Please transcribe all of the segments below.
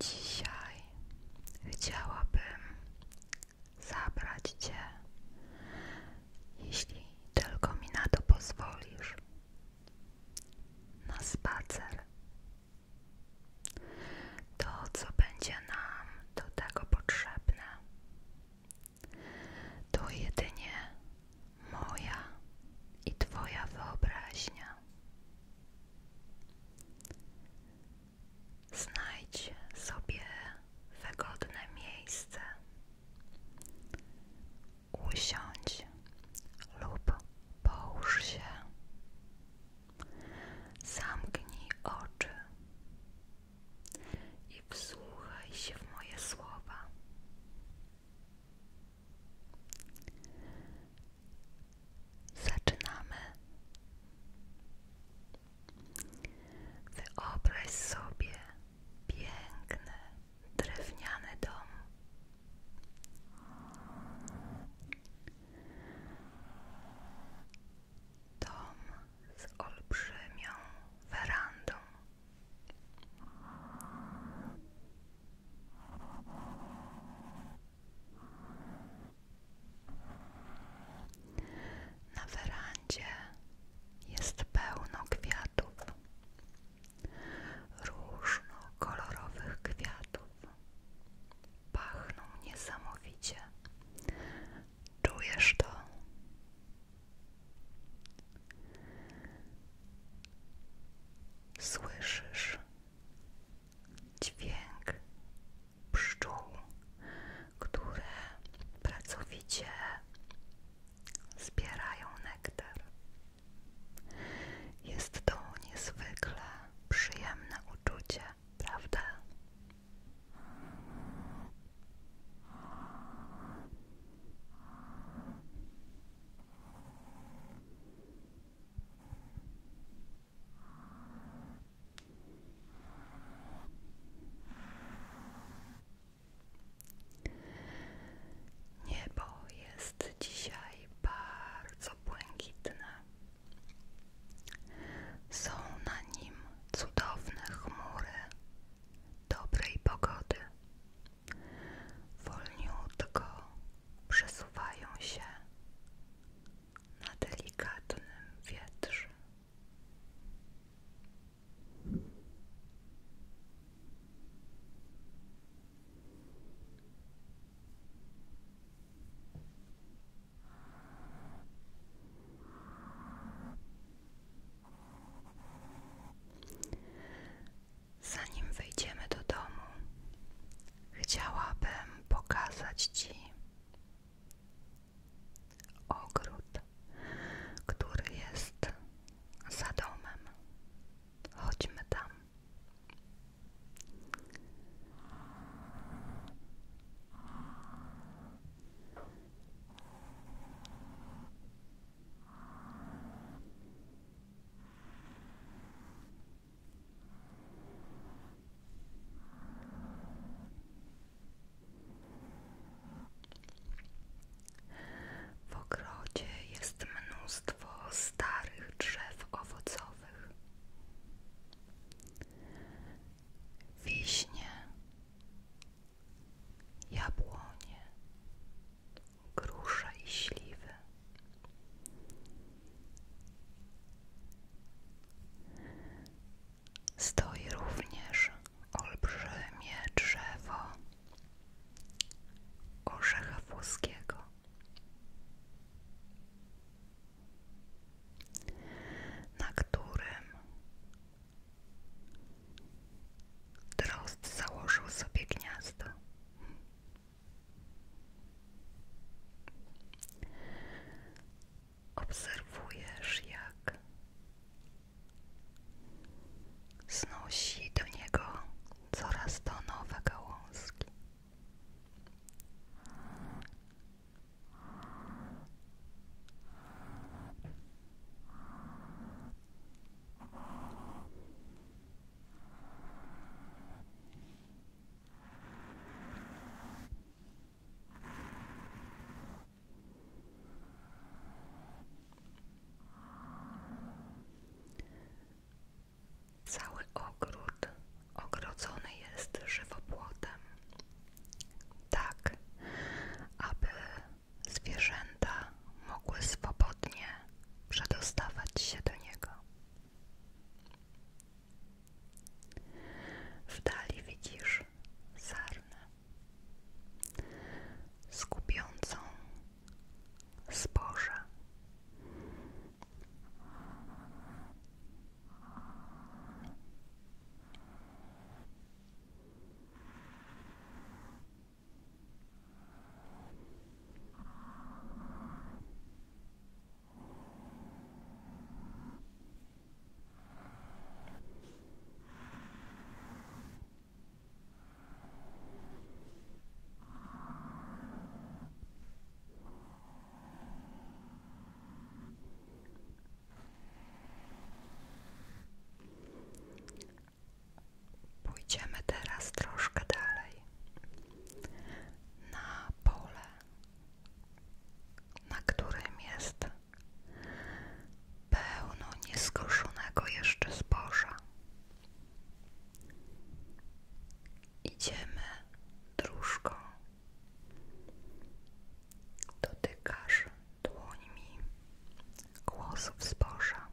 Dzisiaj chciałabym zabrać Cię jeśli tylko mi na to pozwolisz, na spacer. To, co będzie nam do tego potrzebne, to jedynie moja i Twoja wyobraźnia. Znajdź sobie wygodne miejsce Usiądź lub połóż się. Zamknij oczy i wsłuchaj się w moje słowa. Zaczynamy. Wyobraź sobie, piękny, drewniany dom. Dom z olbrzymią werandą. Na werandzie jest pełno kwiatów, różnokolorowych kwiatów. Pachną niesamowicie. Czujesz to? Słyszysz dźwięk pszczół, które pracowicie zbierają nektar. Jest to niezwykle przyjemne uczucie, prawda? Niebo jest dzisiaj bardzo błękitne. Są na nim cudowne chmury dobrej pogody. Wolniutko przesuwają się na delikatnym wietrze. Zanim wyjdziemy do domu, chciałabym pokazać Ci ogród, który jest za domem. Chodźmy tam. W ogrodzie jest mnóstwo starych drzew owocowych. Wiśnie, jabłonie, grusze i śliwy. Stoi również olbrzymie drzewo orzecha Na którym Drozd założył sobie gniazdo obserwujesz, jak znosi do niego coraz to nowe gałązki. Cały ogród ogrodzony jest żywopłotem, tak aby zwierzęta mogły swobodnie przedostawać się do niego. W dali widzisz sarnę skupiącą zboże. Pójdziemy teraz troszkę dalej na pole, na którym jest pełno nieskruszonego jeszcze zboża. Idziemy dróżką, dotykasz dłońmi głosów zboża.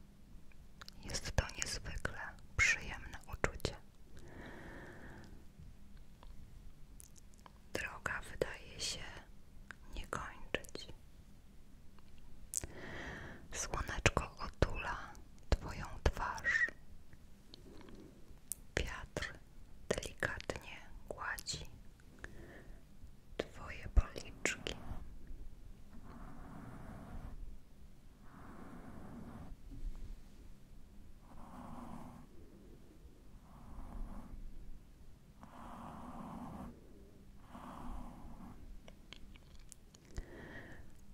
Jest to niezwykle przyjemne uczucie droga wydaje się nie kończyć. Słoneczko otula Twoją twarz. Wiatr delikatnie gładzi Twoje policzki.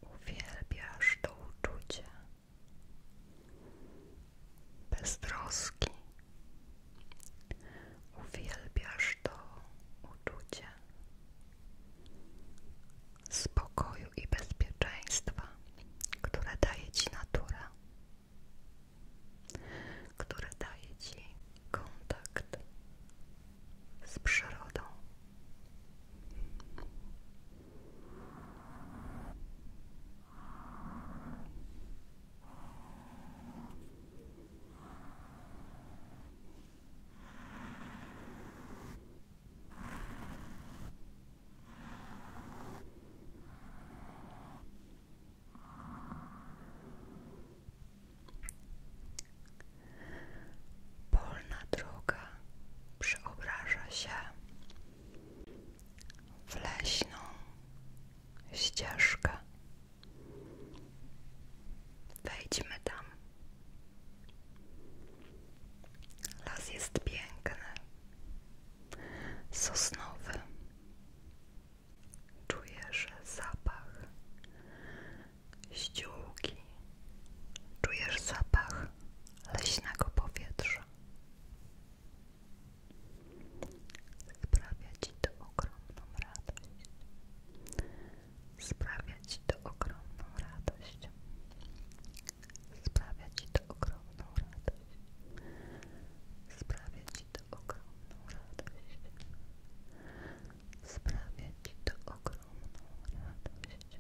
Uwielbiasz to uczucie beztroski. Uwielbiasz to uczucie spokoju i bezpieczeństwa, które daje ci natura które daje Ci kontakt z przyrodą. Polna droga przeobraża się w leśną ścieżkę. Wejdźmy tam. Las jest piękny sosnowy. Czujesz zapach ściółki. Czujesz zapach leśnego powietrza. Sprawia ci to ogromną radość. Sprawia ci to ogromną radość. Sprawia Ci to ogromną radość. Sprawia Ci to ogromną radość. Sprawia Ci to ogromną radość.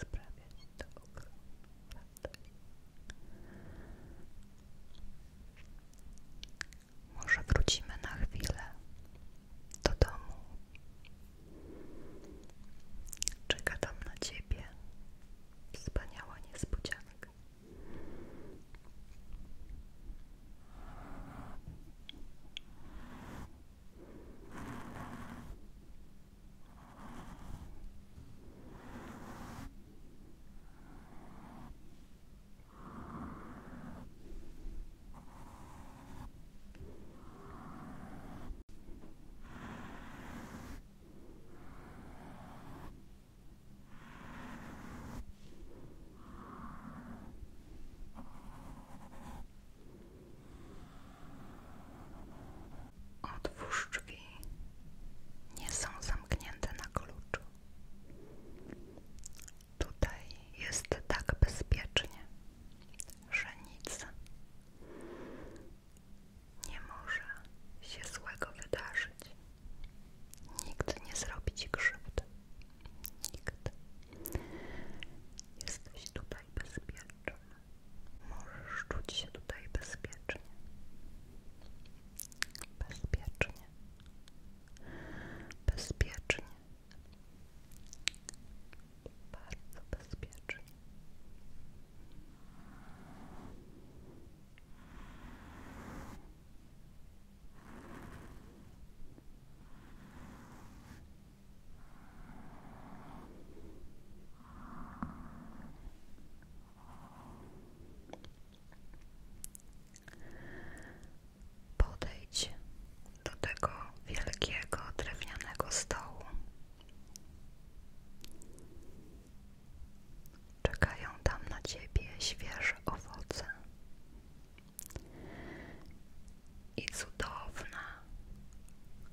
Sprawia Ci to ogromną radość. Może wrócimy na chwilę do domu, Czekam na ciebie wspaniała niespodzianka. Dobrze. Otwórz Nie są zamknięte na kluczu. Tutaj jest tak bezpiecznie, że nic nie może się złego wydarzyć. Nikt nie zrobi ci krzywdy. Nikt. Jesteś tutaj bezpieczny. Możesz czuć się tutaj bezpiecznie. Bezpiecznie. Bezpiecznie bardzo bezpiecznie. Podejdź do tego wielkiego drewnianego stołu. Czekają tam na ciebie świeże owoce i cudowna,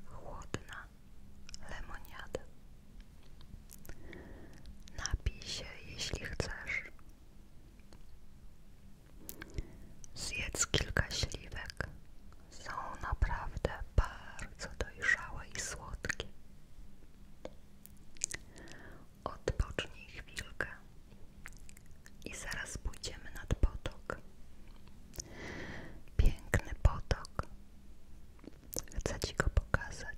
chłodna lemoniada. Napisz, się, jeśli chcesz. Zjedz kilka śliwek. Są naprawdę bardzo dojrzałe i słodkie. Odpocznij chwilkę i zaraz pójdziemy nad potok. Piękny potok. Chcę Ci go pokazać.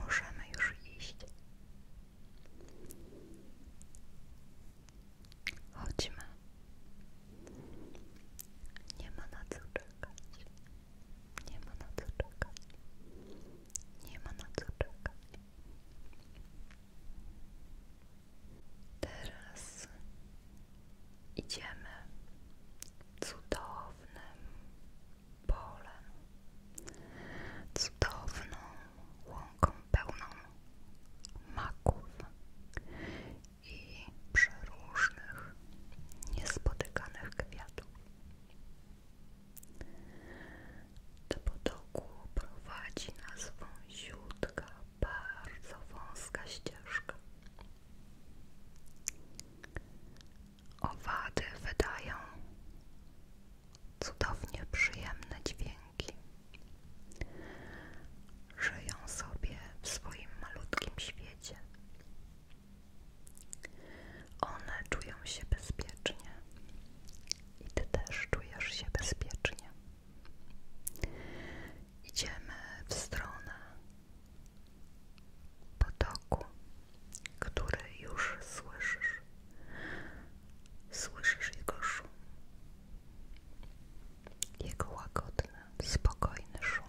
Możemy już iść. Chodźmy. Nie ma na co czekać. Nie ma na co czekać. Nie ma na co czekać. Teraz idziemy cudownym polem, cudowną łąką pełną maków i przeróżnych, niespotykanych kwiatów. Do potoku prowadzi nas wąziutka, bardzo wąska ścieżka. Owady wydają cudownie przyjemne dźwięki. Żyją sobie w swoim malutkim świecie. One czują się bezpiecznie i Ty też czujesz się bezpiecznie. Idziemy w stronę potoku, który już słyszysz. Słyszysz jego szum, jego łagodny, spokojny szum.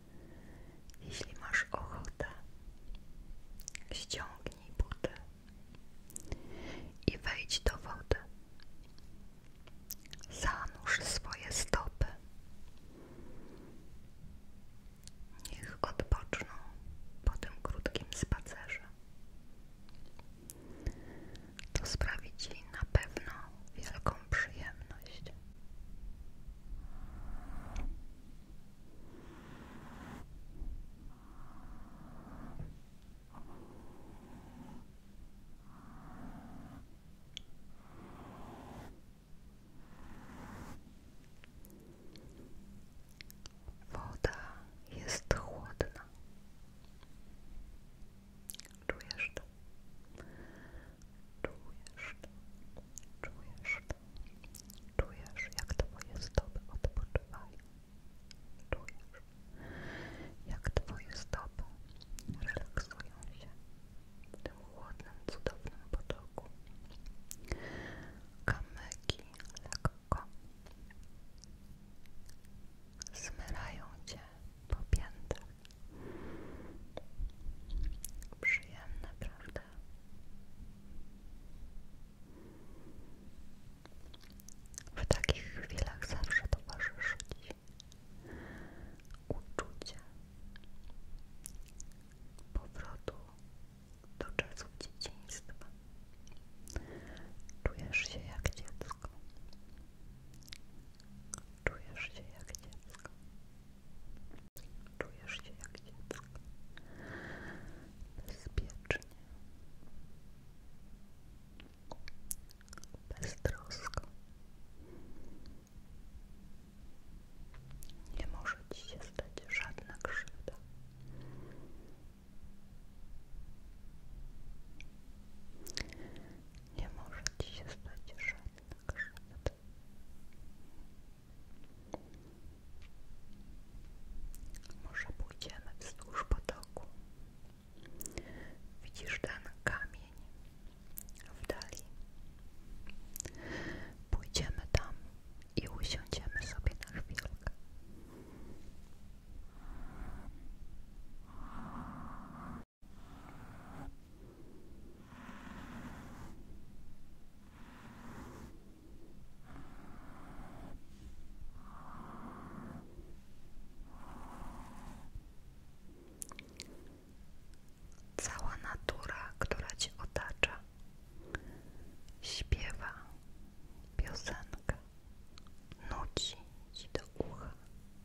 Jeśli masz ochotę, ściągnij buty i wejdź do wody. Zanurz swoje stopy. Niech odpoczną po tym krótkim spacerze. To sprawi Ci na pewno wielką przyjemność. Woda jest chłodna. Czujesz to? Czujesz to? Czujesz, jak twoje stopy odpoczywają. Czujesz, jak twoje stopy relaksują się w tym chłodnym, cudownym potoku. Kamyki lekko zmyrają cię po piętach. Przyjemne, prawda? W takich chwilach zawsze towarzyszy Ci uczucie powrotu do czasu dzieciństwa. Czujesz się jak dziecko. Czujesz się jak dziecko. Czujesz się jak dziecko. Bezpiecznie. Beztrosko. Nie może ci się stać żadna krzywda. Nie może ci się stać żadna krzywda. Może pójdziemy wzdłuż potoku. Widzisz ten kamień w dali. Pójdziemy tam i usiądziemy sobie na chwilkę. Cała natura, która ci otacza, śpiewa piosenkę, nuci do ucha,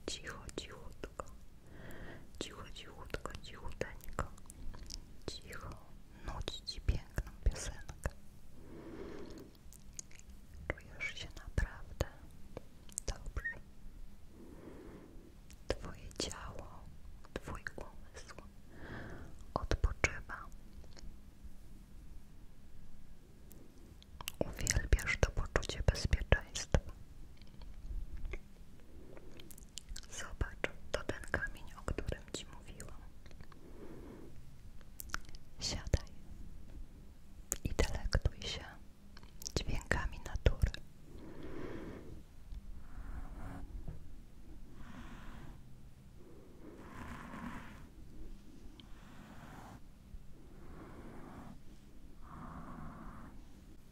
cicho, cichutko. Cicho, cichutko, cichuteńko. Cicho nudzi Ci piękną piosenkę. Czujesz się naprawdę dobrze. Twoje ciało, Twój umysł odpoczywa. Uwielbiasz to poczucie bezpieczeństwa. Zobacz, to ten o którym ci mówiłam. Siadaj i delektuj się dźwiękami natury.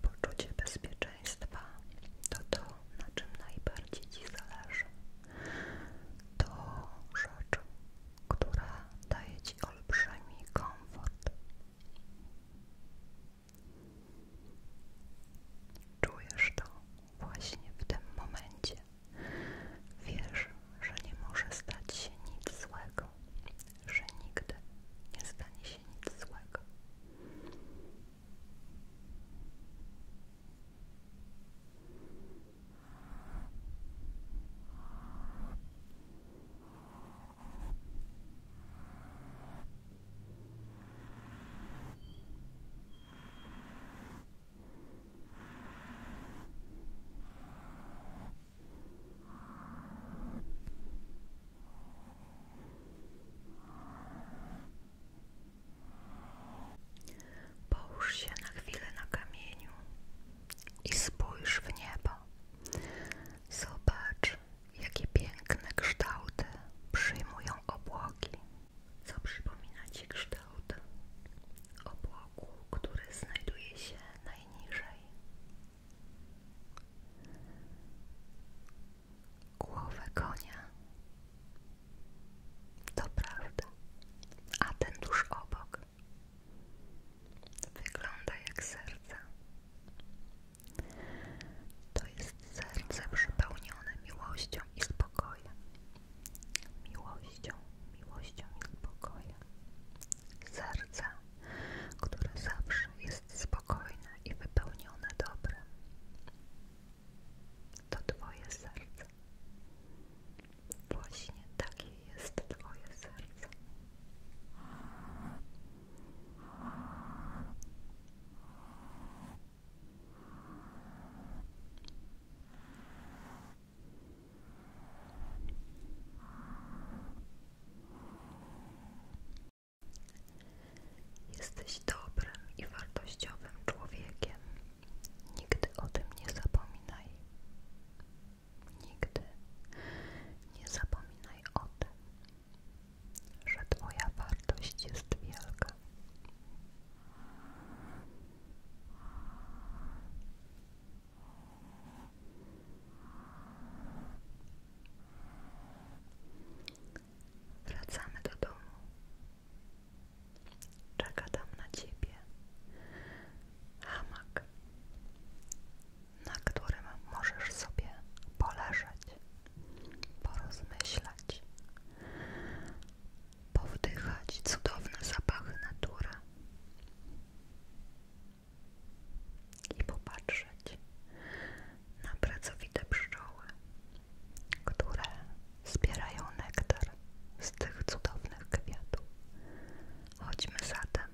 Poczucie bezpieczeństwa to to, na czym najbardziej Ci zależy. To rzecz, która daje Ci olbrzymi komfort. Czujesz to właśnie w tym momencie. Wiesz, że nie może stać się nic złego, że nigdy nie stanie się nic złego. Połóż się na chwilę na kamieniu i spójrz w niebo. Zobacz, jakie piękne kształty przyjmują obłoki. Co przypomina Ci kształt obłoku, który znajduje się najniżej? Głowę konia. To prawda. A ten tuż obok wygląda jak serce. To jest serce przepełnione miłością i spokojem. Miłością, miłością i spokojem serce, które zawsze jest spokojne i wypełnione dobrem. To Twoje serce. Właśnie takie jest Twoje serce. Jesteś dobrym i wartościowym człowiekiem. Nigdy o tym nie zapominaj. Nigdy nie zapominaj o tym, że Twoja wartość jest wielka. Wracamy do domu. Czeka tam na ciebie hamak, na którym możesz sobie poleżeć, porozmyślać, powdychać cudowne zapachy natury i popatrzeć na pracowite pszczoły, które zbierają nektar z tych cudownych kwiatów. Chodźmy zatem.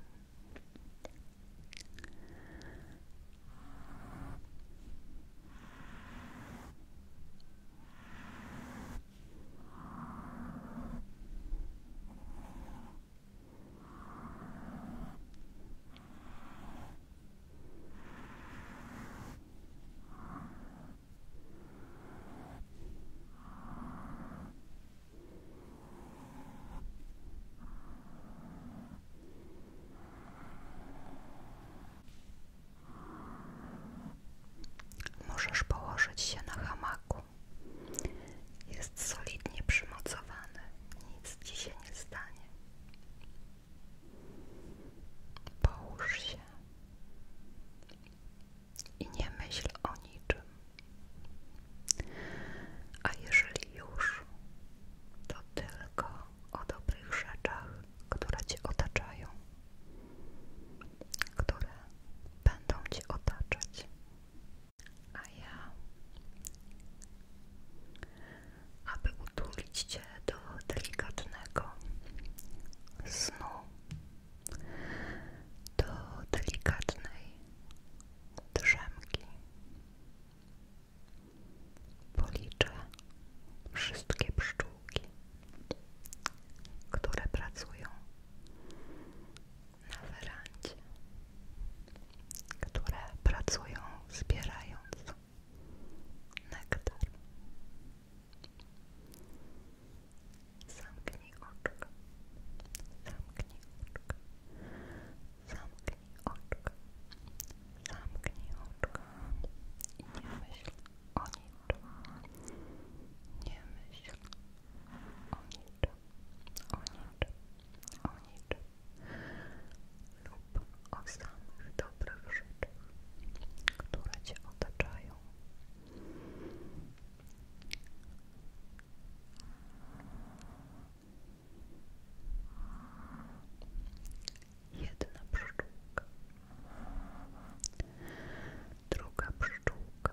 Можешь положить все на хамаку Jest solidnie przymocowane, nic ci się nie stanie. Połóż się i nie myśl o niczym. A jeżeli już, to tylko o dobrych rzeczach, które ci otaczają, które będą ci otaczać. A ja, aby utulić Cię do delikatnego snu, do delikatnej drzemki, policzę wszystkie pszczółki, które pracują na werandzie, które pracują zbierając nektar. Zamknij oczka, zamknij oczka, zamknij oczka, zamknij oczka nie myśl o niczym, nie myśl o niczym o niczym, o niczym lub o samych dobrych rzeczach, które Cię otaczają. Jedna pszczółka, druga pszczółka,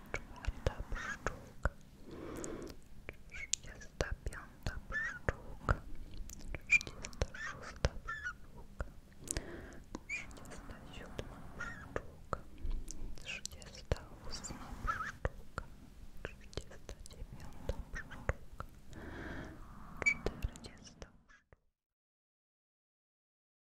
czwarta trzydziesta piąta pszczółka, trzydziesta szósta pszczółka, trzydziesta siódma pszczółka, trzydziesta ósma pszczółka, trzydziesta dziewiąta pszczółka, czterdziesta